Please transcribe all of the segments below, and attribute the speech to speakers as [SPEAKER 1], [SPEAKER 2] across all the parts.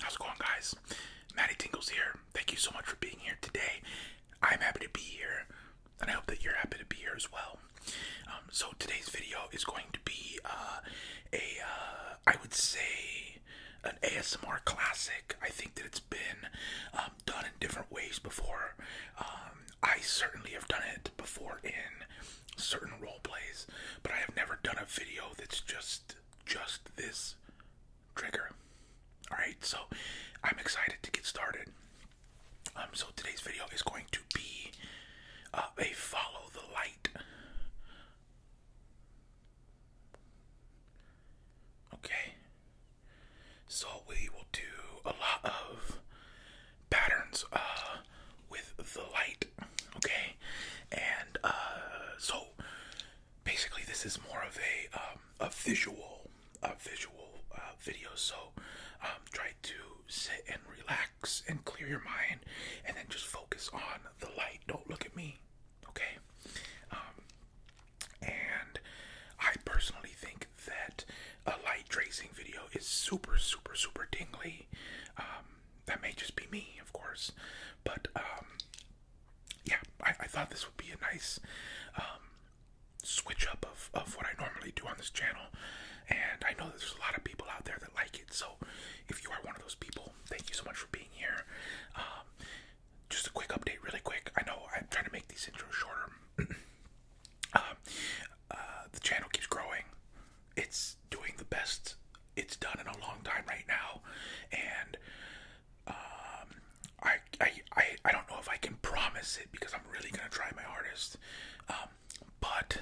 [SPEAKER 1] How's it going, guys? Maddie Tingles here. Thank you so much for being here today. I'm happy to be here, and I hope that you're happy to be here as well. Um, so today's video is going to be uh, a uh, I would say an ASMR classic. I think that it's been um, done in different ways before. Um, I certainly have done it before in certain role plays, but I have never done a video that's just just this trigger. All right, so I'm excited to get started. Um, so today's video is going to be uh, a follow the light Okay, so we will do a lot of patterns uh, with the light, okay? And uh, so basically, this is more of a um, a visual, a visual uh, video. So um, try to sit and relax and clear your mind, and then just focus on the light. Don't look at me okay? Um, and I personally think that a light tracing video is super, super, super tingly. Um, that may just be me, of course, but um, yeah, I, thought this would be a nice switch up of, of what I normally do on this channel. And I know there's a lot of people out there that like it, so if you are one of those people, thank you so much for being here just a quick update, really quick. I know I'm trying to make these intros shorter. Um, uh, the channel keeps growing. It's doing the best it's done in a long time right now, and um, I, I I don't know if I can promise it because I'm really gonna try my hardest. Um, but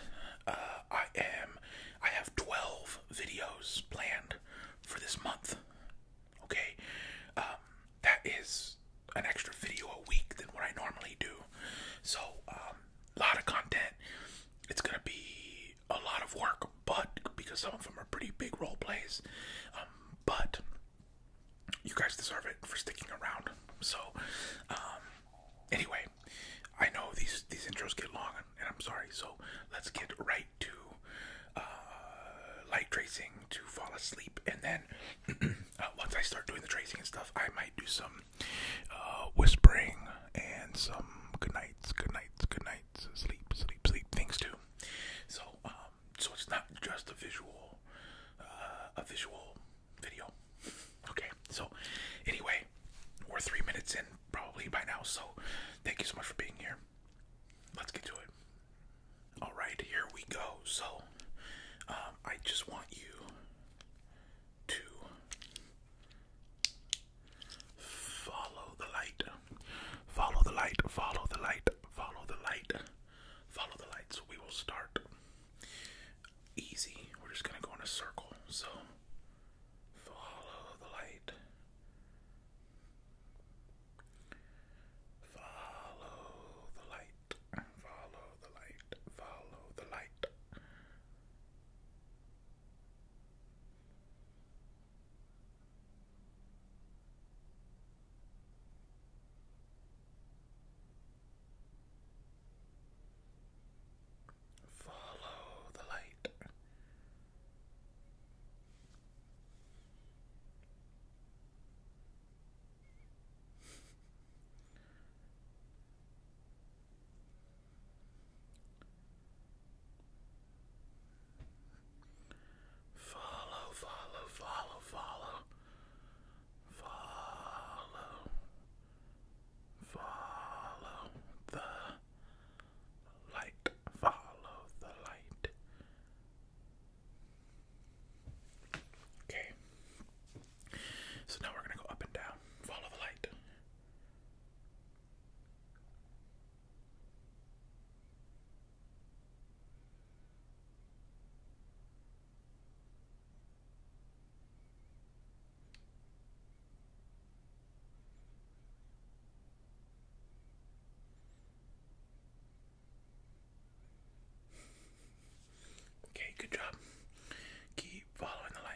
[SPEAKER 1] uh, I am. I have 12 videos planned for this month. Okay, um, that is an extra video a week than what I normally do. So, a um, lot of content. It's gonna be a lot of work, but because some of them are pretty big role plays, um, but you guys deserve it for sticking around. So, anyway, I know these these intros get long, and I'm sorry. So let's get right to uh, light tracing to fall asleep, and then uh, once I start doing the tracing and stuff, I might do some uh, whispering and some good nights, good nights, good nights, sleep, sleep, sleep things too. So, um, so it's not just a visual, a visual video. Okay, so anyway, we're three minutes in probably by now. So, thank you so much for being here let's get to it. All right, here we go. So, um, I just want you to follow the light, follow the light, follow the light, follow the light, follow the light. So, we will start easy. We're just gonna go in a circle. So, follow the light, Follow the light, follow the light, follow the light. Follow the light. Follow, follow, follow, follow, follow, follow the light. Follow the light. Okay. So now we're going to go up and down. Follow the light. Okay, good job. Keep following the light.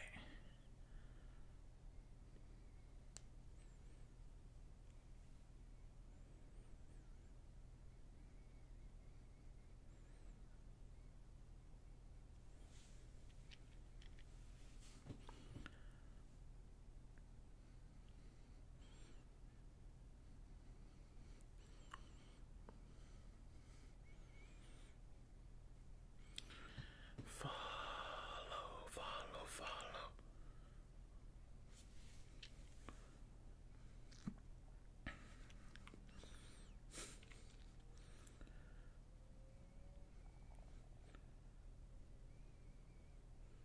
[SPEAKER 1] Follow, follow, follow.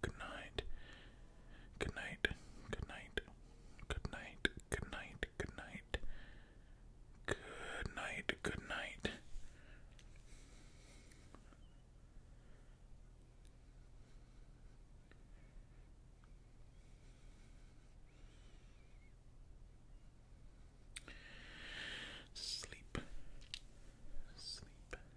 [SPEAKER 1] good night, good night, good night, good night, good night, good night, good night, good night. Sleep, sleep,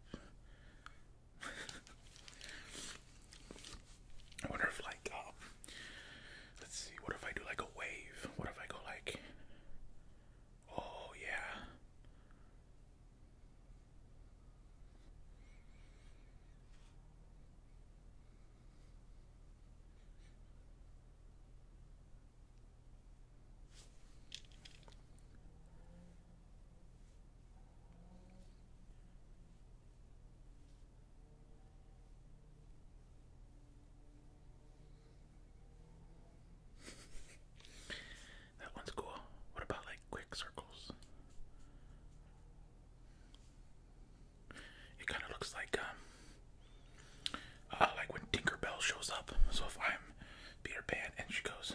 [SPEAKER 1] I wonder if like um, let's see, what if I do like a wave? What if I go like oh yeah. that one's cool. What about like quick circles? It kind of looks like um, uh, like when Tinkerbell shows up. So if I'm Peter Pan and she goes,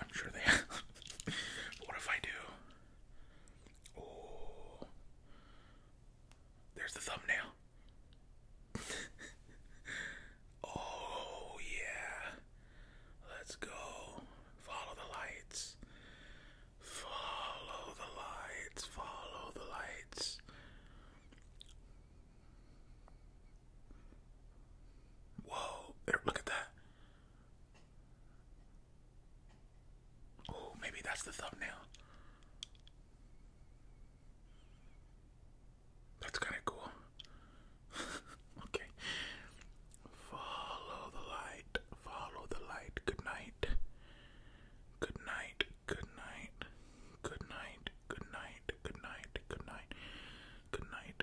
[SPEAKER 1] I'm sure they have. what if I do? Oh, there's the thumbnail. oh, yeah. Let's go. Follow the lights. Follow the lights. Follow the lights. Whoa, look at that. Oh, maybe that's the thumbnail. That's kind of cool. okay. Follow the light. Follow the light. Good night. Good night. Good night. Good night. Good night. Good night. Good night. Good night.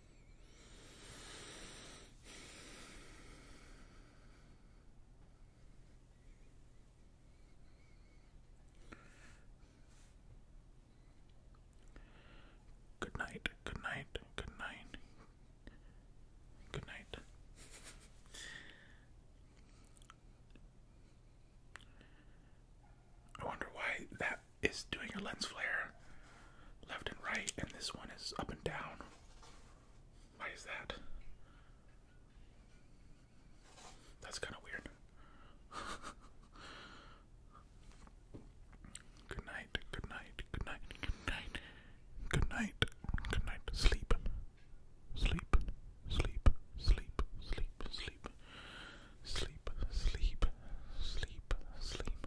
[SPEAKER 1] Good night, good night, good night, good night. I wonder why that is doing a lens flare left and right, and this one is up and down. Why is that? That's kind of weird. good night, good night, good night, good night, good night, good night. Sleep, sleep, sleep, sleep, sleep, sleep, sleep, sleep, sleep, sleep,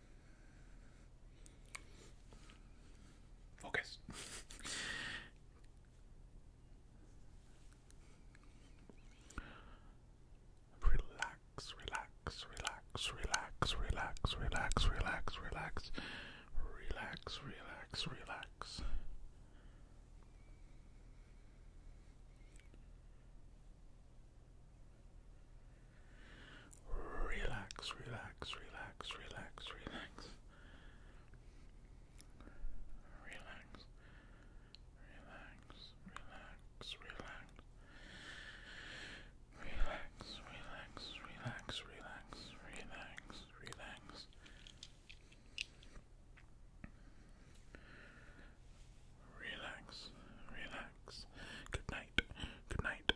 [SPEAKER 1] Focus. relax, relax, relax, relax, relax, relax, relax, relax, relax, relax, relax. Relax, relax, relax, relax, relax. Relax. Relax, relax, relax. Relax, relax, relax, relax, relax, relax. Relax, relax. Good night. Good night.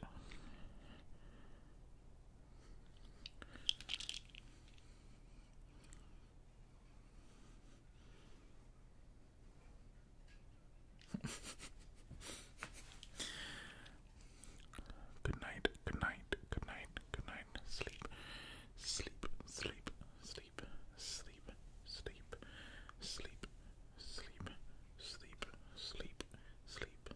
[SPEAKER 1] good night, good night, good night, sleep, sleep, sleep, sleep, sleep, sleep, sleep, sleep, sleep, sleep, sleep,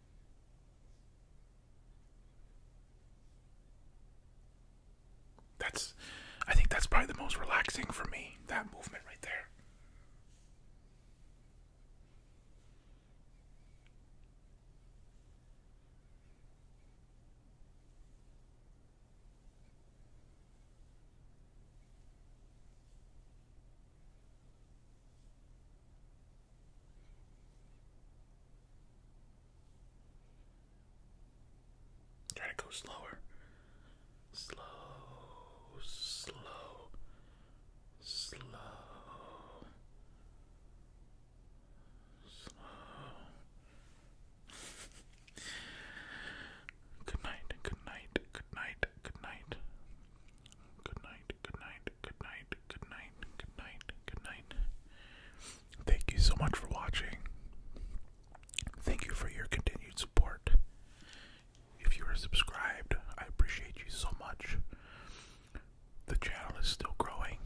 [SPEAKER 1] That's, I think that's probably the most relaxing for me, that movement right there. Try to go slower. Slow, slow, slow, slow. good night, good night, good night, good night. Good night, good night, good night, good night, good night, good night. Thank you so much for watching. Thank you for your continued support. If you are subscribed, I appreciate you so much. The channel is still growing,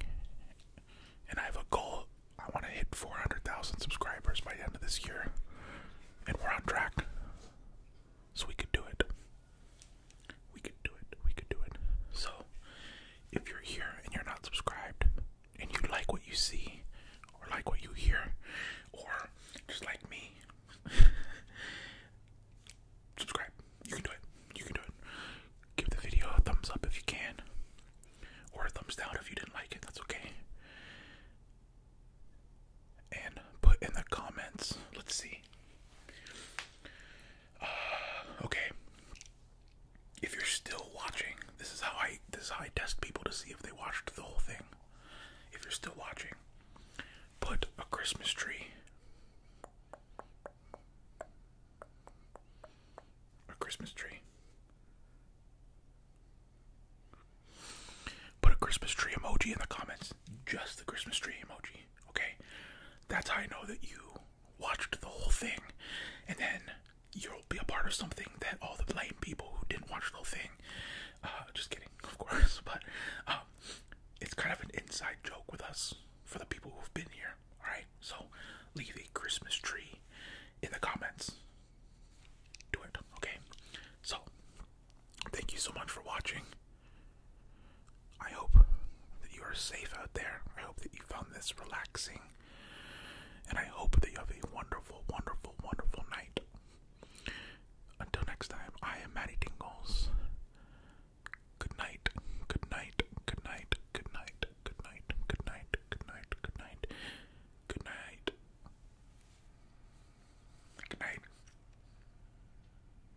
[SPEAKER 1] and I have a goal. I want to hit 400,000 subscribers by the end of this year, and we're on track. So we could do it. We could do it. We could do it. So, if you're here and you're not subscribed, and you like what you see, or like what you hear, or just like me, subscribe. You can do it. You can do it. Give the video a thumbs up if you can, or a thumbs down if you didn't like it. That's okay. And put in the comments. Let's see. okay. If you're still watching, this is how I this I test people to see if they watched the whole thing. If you're still watching, put a Christmas tree. A Christmas tree. Put a Christmas tree emoji in the comments. Just the Christmas tree emoji okay? That's how I know that you watched the whole thing, and then you'll be a part of something that all the lame people who didn't watch the whole thing, uh, just kidding, of course, but um, it's kind of an inside joke with us for the people who've been here, alright? So leave a Christmas tree in the comments. Do it, okay? So, thank you so much for watching. I hope that you are safe out there. I hope that you found this relaxing. And I hope that you have a wonderful, wonderful, wonderful night. Until next time, I am Maddie Tingles. Good night, good night, good night, good night, good night, good night, good night, good night, good night. Good night.